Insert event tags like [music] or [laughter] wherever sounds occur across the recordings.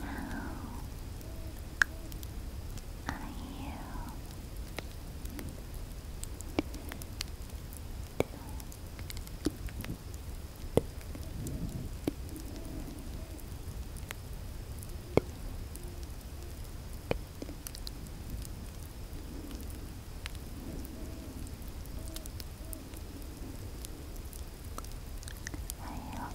How are you I hope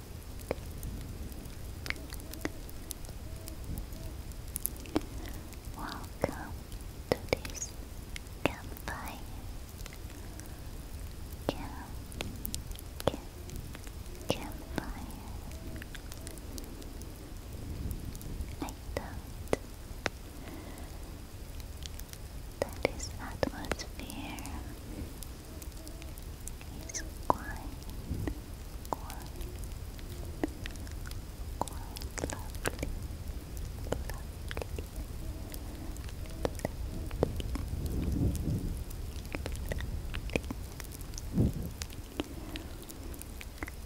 Welcome to this campfire. Camp, camp, campfire. I thought that this atmosphere He's quite, quite, quite lovely, lovely, lovely,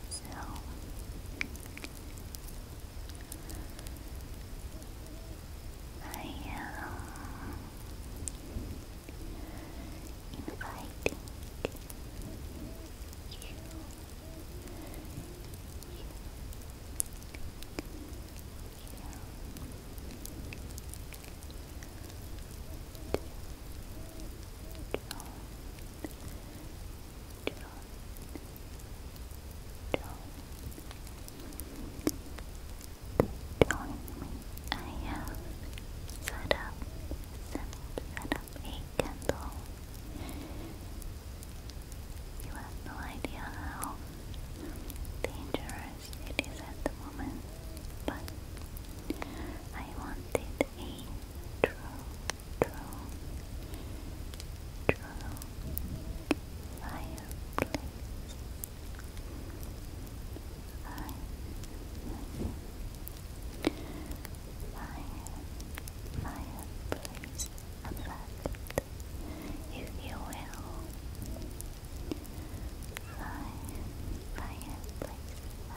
So I um, inviting you, you Join me I have set up, set up, set up a candle. You have no idea how dangerous it is at the moment, but I wanted a true, true, true fireplace. Fire, fire, fire, please affect, if you will. Fire, fire, please affect. Fire,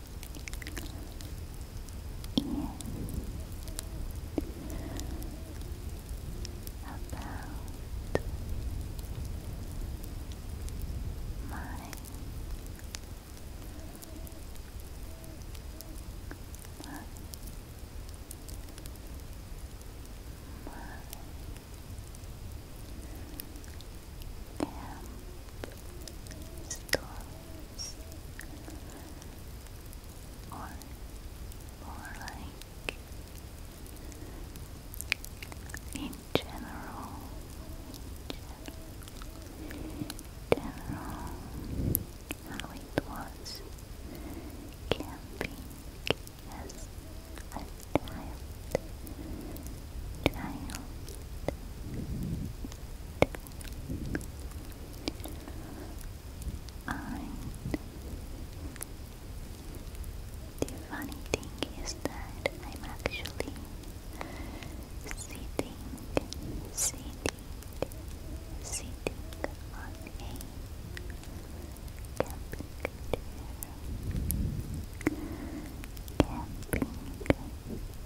in about my my, my camp story flowers, or more like in general, general, how it was camping as a child, child, and the funny thing is that I'm actually sitting, sitting, sitting on a camping chair, camping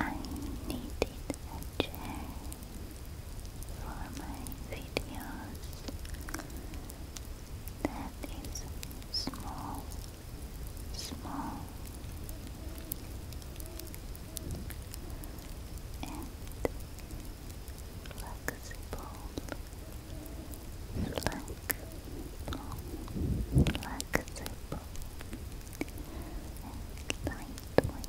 I needed a chair for my videos that is small, small and flexible, flexible, flexible, and lightweight. Lightweight. Lightweight.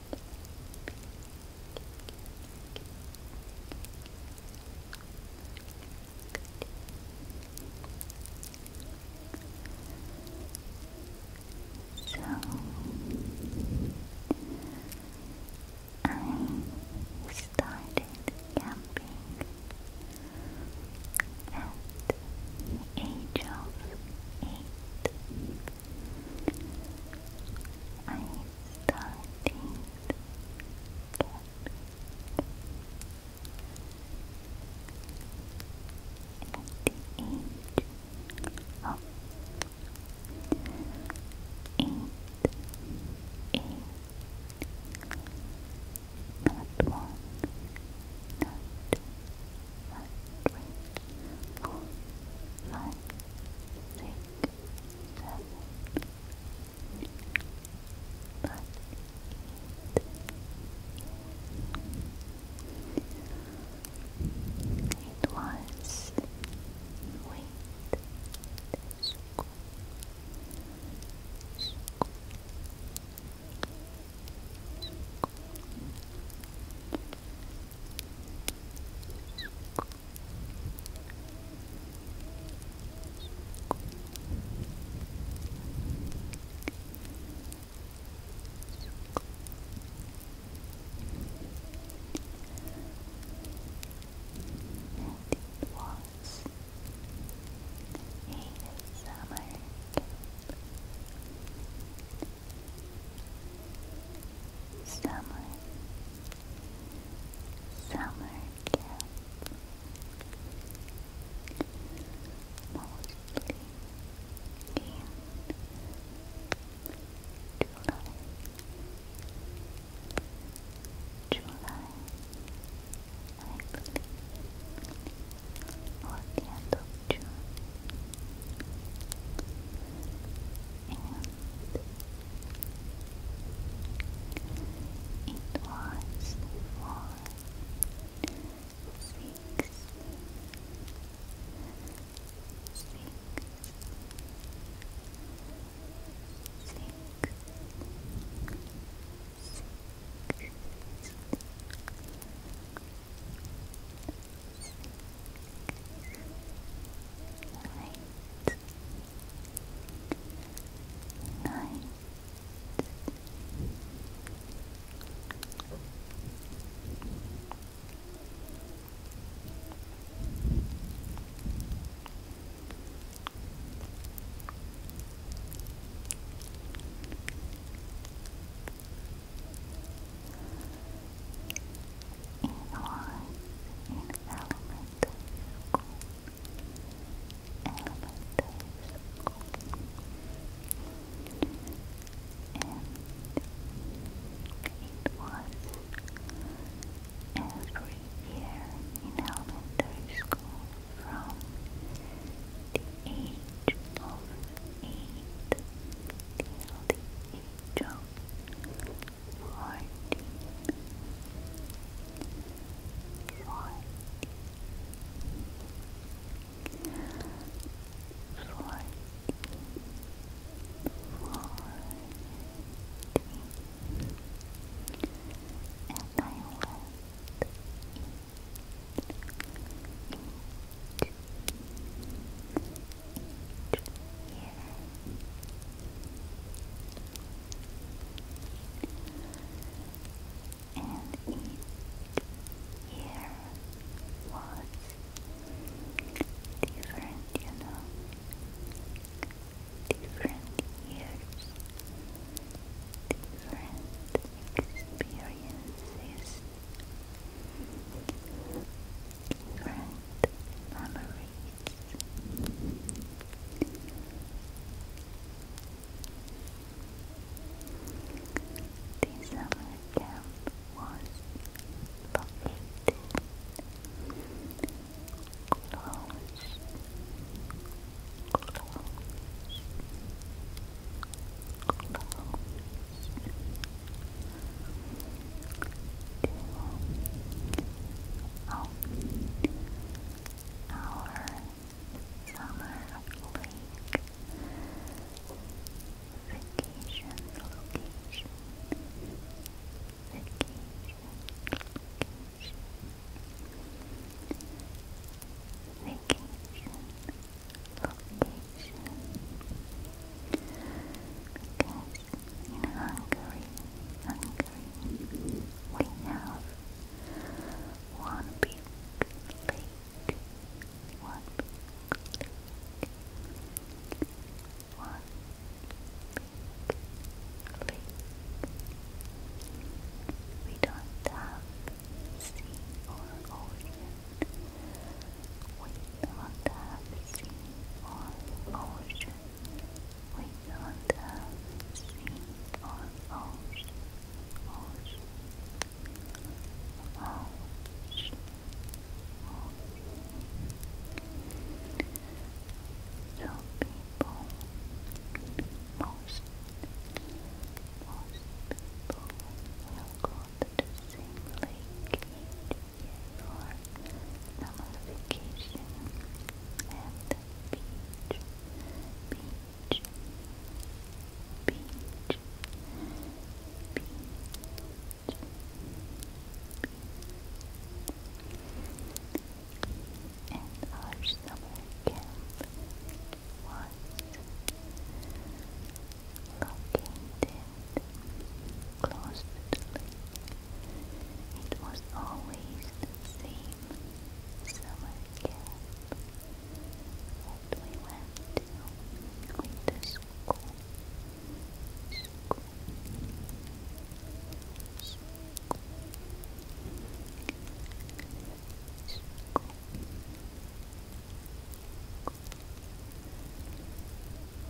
So I started camping at age of eight. I started camping at the age of eight, eight, not one, not two, it was wait school. School was a summer Summer Summer camp. Mostly in July. July, I believe, or the end of June. And it was four, six, six, Night. Night. It was in elementary school. And it was every year in elementary school from age of eight till the age of fourteen, fourteen, fourteen, fourteen. And I went eat, eat, here. And each year was different, you know, different years, different experiences, different memories. The summer camp was located close, oh, our summer lake vacation location. Vacation, vacation, vacation, location in Hungary, Hungary, we have one big lake, one big lake, one big lake. We don't have sea or ocean. We don't have sea or ocean. We don't have sea or ocean. Ocean. So people, most, most people will go to the same for summer and beach, beach, beach, beach, beach. And our summer camp was located close the lake. It was always the same summer camp that went to with the School.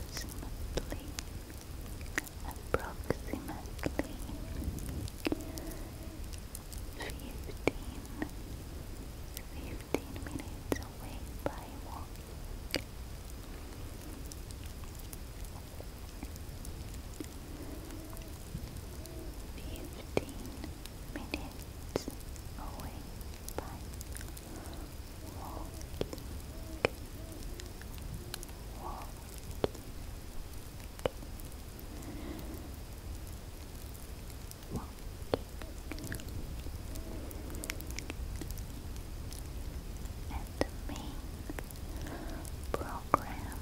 approximately approximately fifteen fifteen minutes away by walk. Fifteen minutes away by walking, walking. And the program for each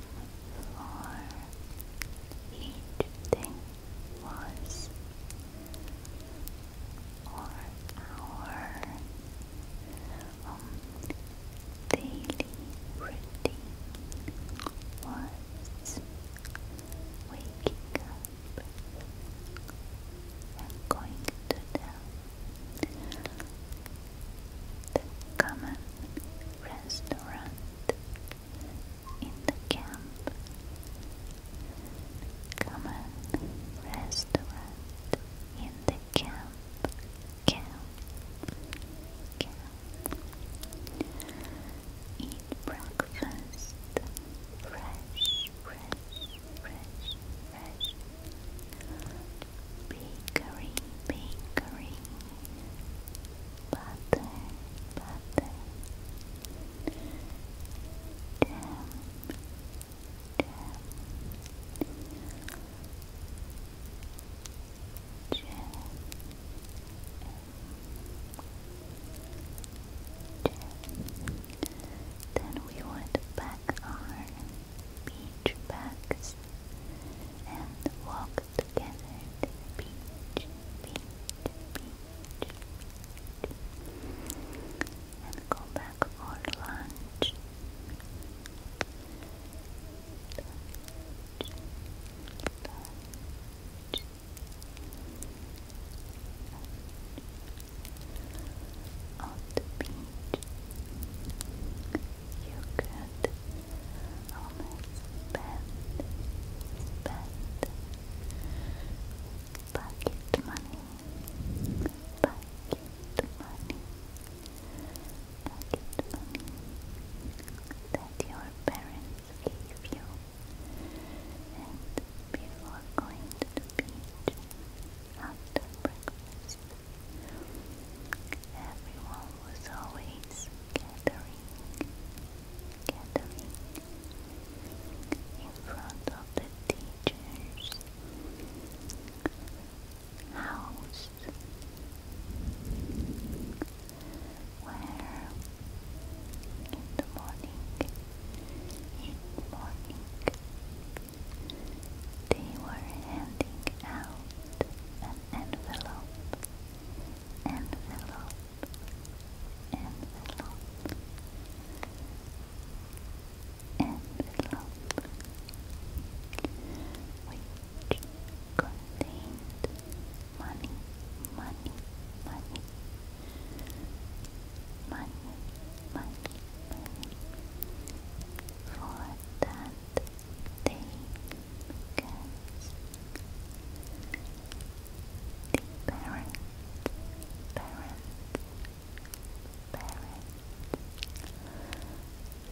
day was or our daily routine was waking up and going to the common restaurant in the camp common restaurant in the camp, camp, camp. Eat breakfast fresh, fresh, fresh, fresh. Bakery, bakery, butter, butter. Jam, then we would pack our beach bags and walk together to beach, beach, beach and go back for lunch. On the beach, you could spend, spend bucket money Bucket money. Bucket money that your parents gave you. And before going to the beach after breakfast, everyone was always gathering, gathering in front of the teacher's house where in the morning in the morning they were handing out an envelope envelope envelope which contained money, money, money, money, money, money. For that they The parents, parents, parents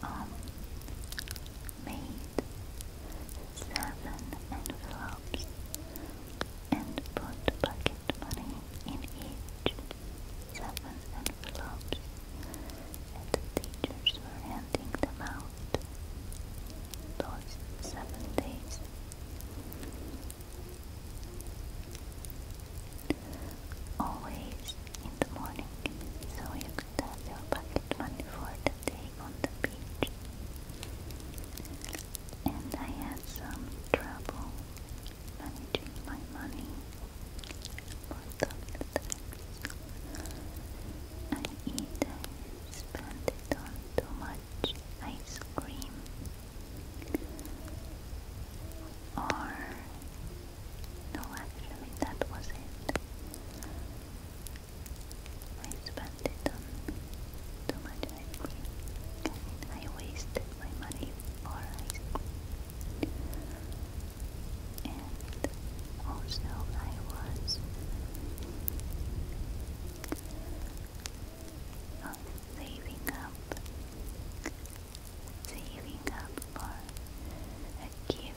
um, made seven envelopes and put bucket money in each seven envelopes and the teachers were handing them out those seven days Always in the morning, so you could have your pocket money for the day on the beach. And I had some trouble managing my money for the tax. I either spent it on too much ice cream or no, actually that was it. I spent too much ice I wasted my money for ice And also I was of saving up, saving up for a gift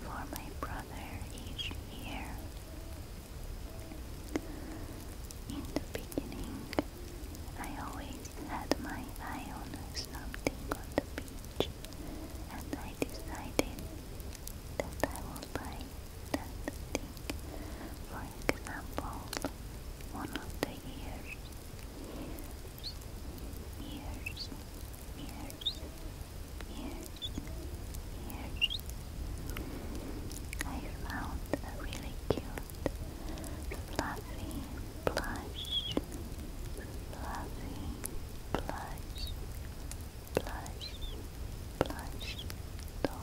for my brother each year. In the beginning, I always had my eye on something on the beach, and I decided that I will buy that thing. For example, one of the years, years, years, years, I found a really cute, fluffy plush, fluffy plush, plush, plush dog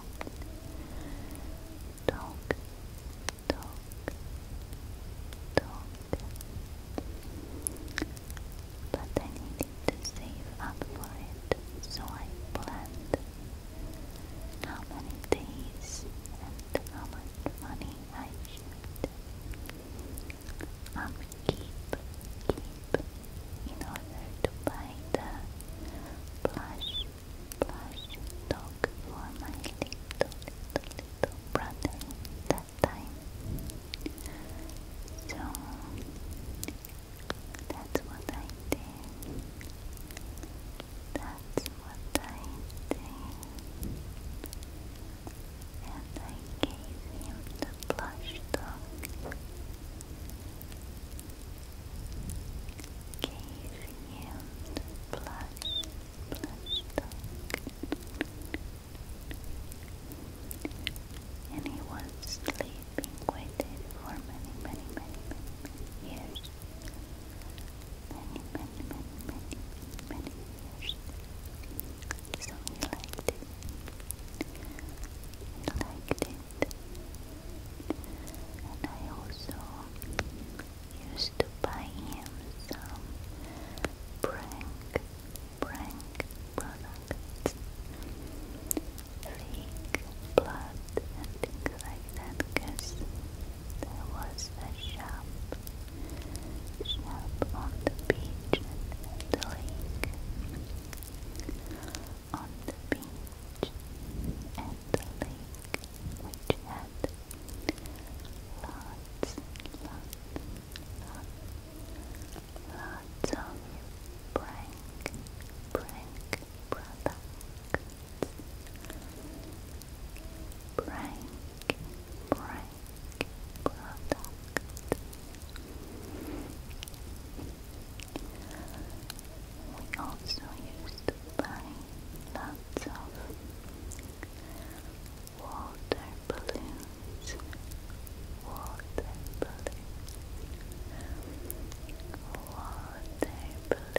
talk, talk, talk. But I needed to save up for it, so I planned how many days and how much money I should um, keep, keep in order to buy the plush plush dog for my little, little, brother that time. So that's what I did. That's what I did. And I gave him the plush dog. Gave perfumed blush, he was sleeping waited for many, many, many, many years. Many, many, many, many, many years. So he liked it. He liked it. And I also used to buy him some prank, prank products, fake blood and things like that because there was a shop, shop on the beach and the lake, on the beach and the lake which had Lots, lots, lots, of prank, prank products. Prank, prank product. We also used to buy lots lots of water balloons, water balloons, water balloons, water balloons, water balloons. balloons.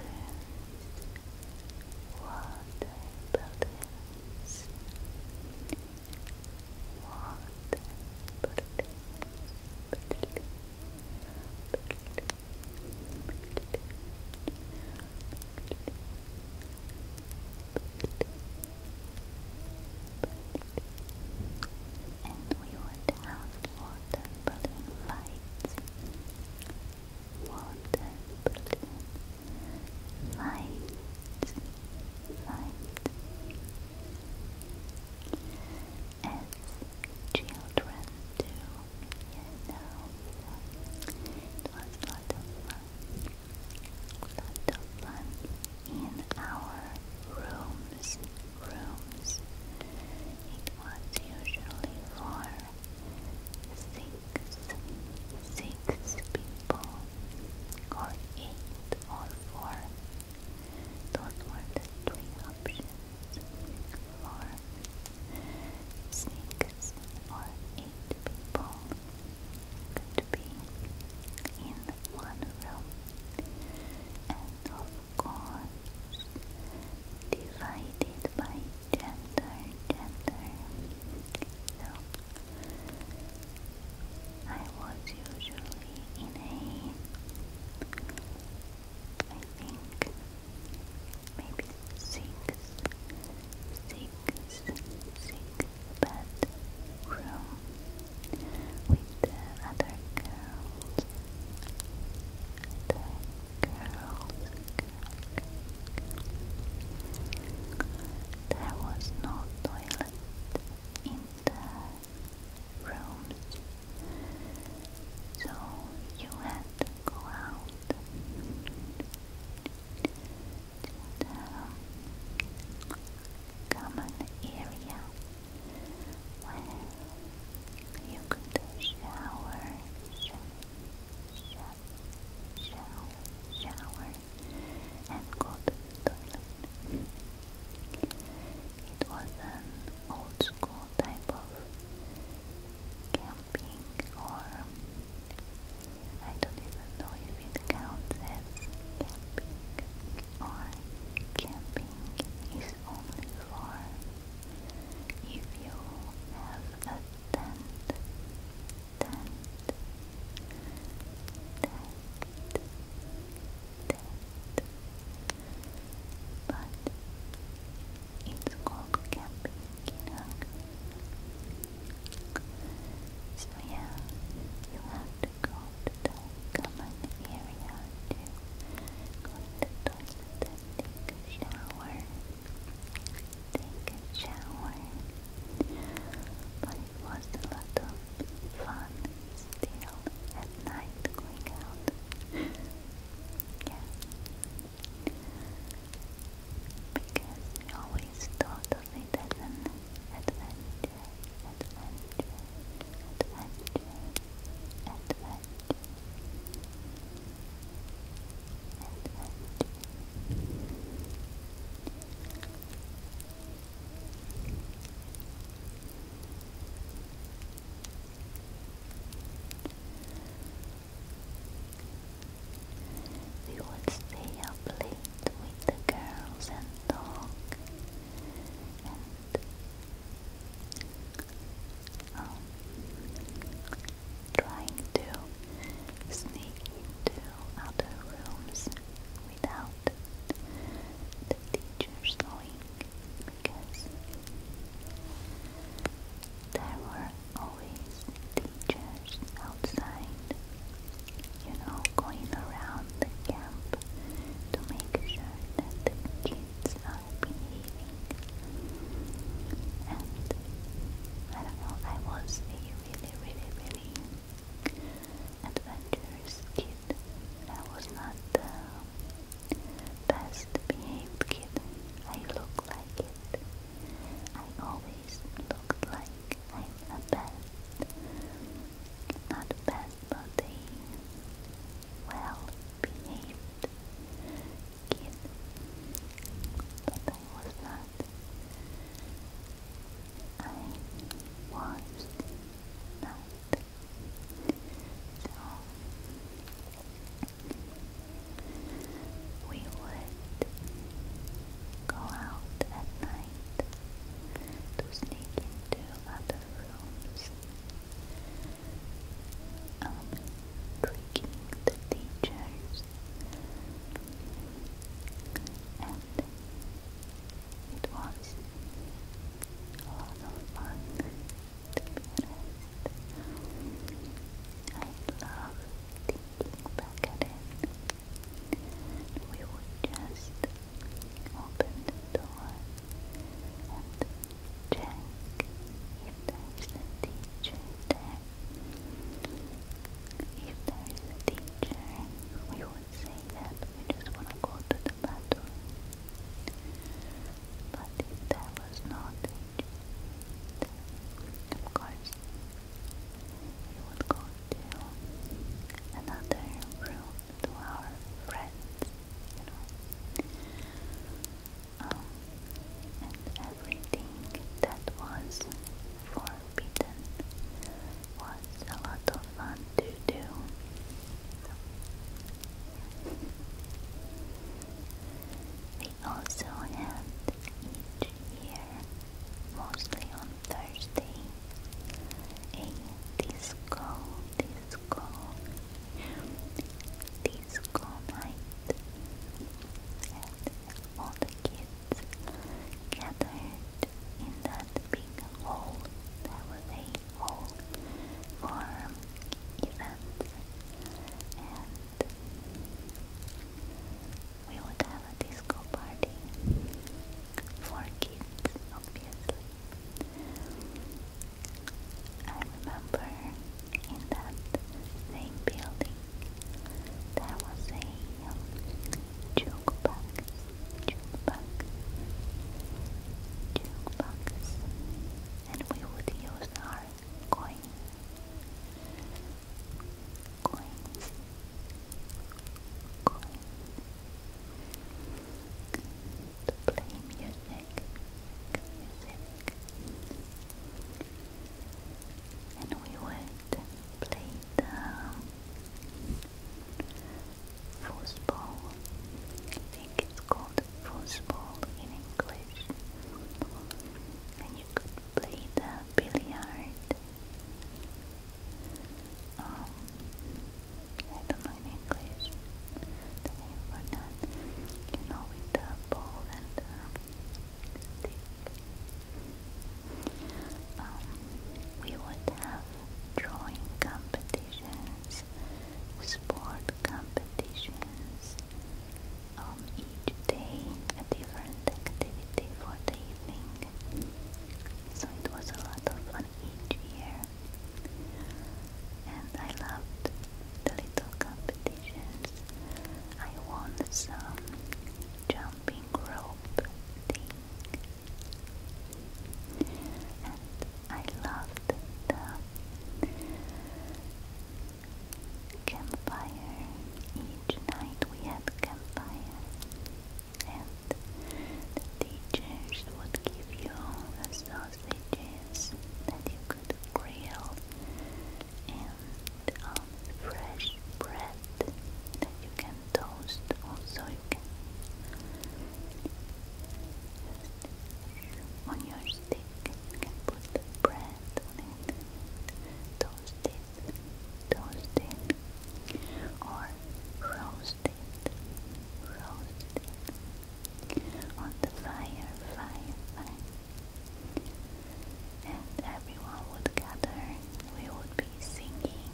balloons. And we would have water balloon lights. Water balloon lights. Lights. As children do you it was a lot fun. in our rooms. Rooms. It was usually for six, six people, or eight, or four. Those were the three options for six or eight people could be in one room, and of course, divided by gender, gender. So, I was usually in a I think maybe six, six, six bedroom with other girls, the girls, There was no toilet in the rooms, so you had go out to the common area where you could shower, shower, shower, shower, and go to toilet. It was an old school type of camp pink or I don't even know if it counts as camping or camping is only for if you have a tent tent tent Tent. But it's called camping So yeah, you have to go to the common area to go to the toilet take a shower. Take a shower. But it was a lot of fun still at night going out. [laughs] yeah. Because we always thought of it as an adventure, adventure, adventure, adventure, adventure. We would stay up late with the girls and talk and um, trying to sneak into other rooms without the teachers knowing because there were always teachers outside, you know, going around the camp to make sure that kids are behaving. And I don't know, I was really, really, really adventurous kid. I was not the best behaved kid. I look like it. I always look like I'm a bad, not bad, but a well-behaved kid, but I was not. I was not. So we would go out at night to sneak into other rooms, um, tricking the teachers, and it was a fun to be I love thinking back at it. We would just open the door and check if there's a teacher If there's a teacher, we would say that we just want to go to the bathroom. But if there was not of course, you would go to another room to our friends, and everything that was forbidden was a lot of fun to do also held each year, mostly on Thursday, a disco, disco, disco night, and all the kids gathered in that big hall that was a hall for events and we would have a disco party for kids, obviously. I remember in that same building there was a um, jukebox, jukebox, jukebox, and we would use our coins coins, coins to play music, music and we play the foosball I think it's called foosball in English and you play the billiard. Um, I don't know English the name for that. You um, we would have drawing competitions, sport competitions, um, each day a different activity for the evening. So it was a lot of fun each year. And I loved the little competitions. I won some jumping rope thing. And I loved the campfire. Each night we had campfire, and the teachers would give you sausages that you could grill, and um, fresh bread that you can toast. Also, you can on your stick, you can put bread toasted, toasted, or roasted, roasted on the fire, fire, fire. And everyone would gather, we would be singing,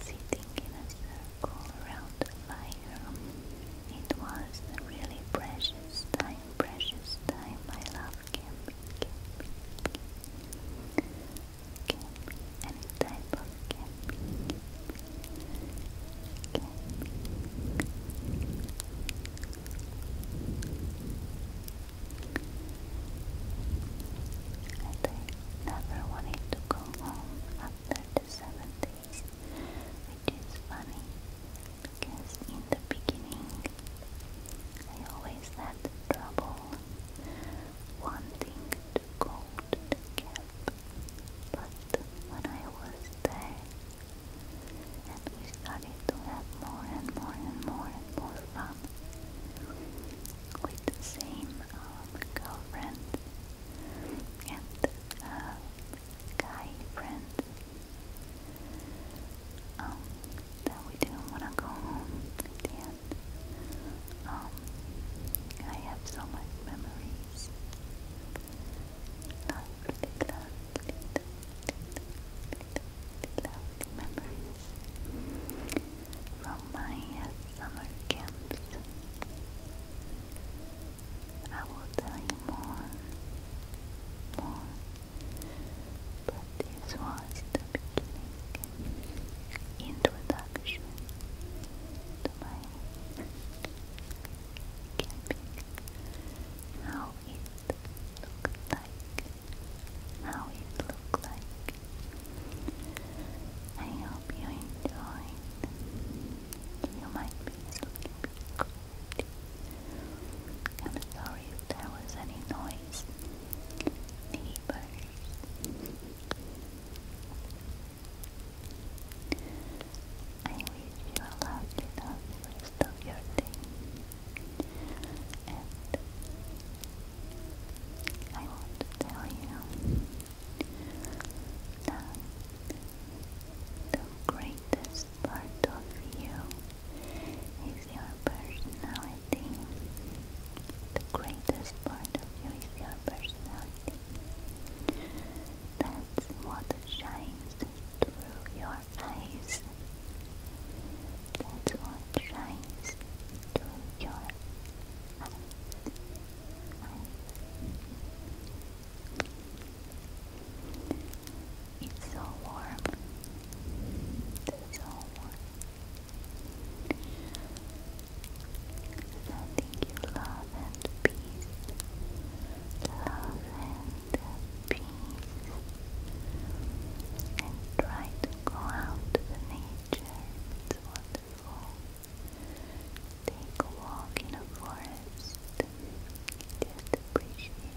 sitting in a circle around the fire. It was a really precious time precious time my love can be, can be, can be any type of can be, I never wanted to go home after the seven days, which funny because in the beginning I always had trouble wanting to go to camp, but when I was there and we started to have more and more and more and more fun with the same um, girlfriend and uh, guy friends. Um, that we didn't want to go home at Um, I have so much memories. Lovely, lovely, lovely, lovely memories from my summer camps. I will tell you more, more. But this was the beginning introduction to my camping. How it looked like, how it looked like. I hope you enjoyed. You might be sleeping. I'm sorry there was any noise. Neighbors. I wish you a lovely, lovely rest of your day. And I want to tell you the greatest part of you is your personality. The greatest part of you is your personality. That's what shines through your eyes. That's what shines through your eyes. It's so warm. It's so warm. Sending you love and peace. Love and peace. And try to go out to the nature. It's wonderful. Take a walk in a forest. Just appreciate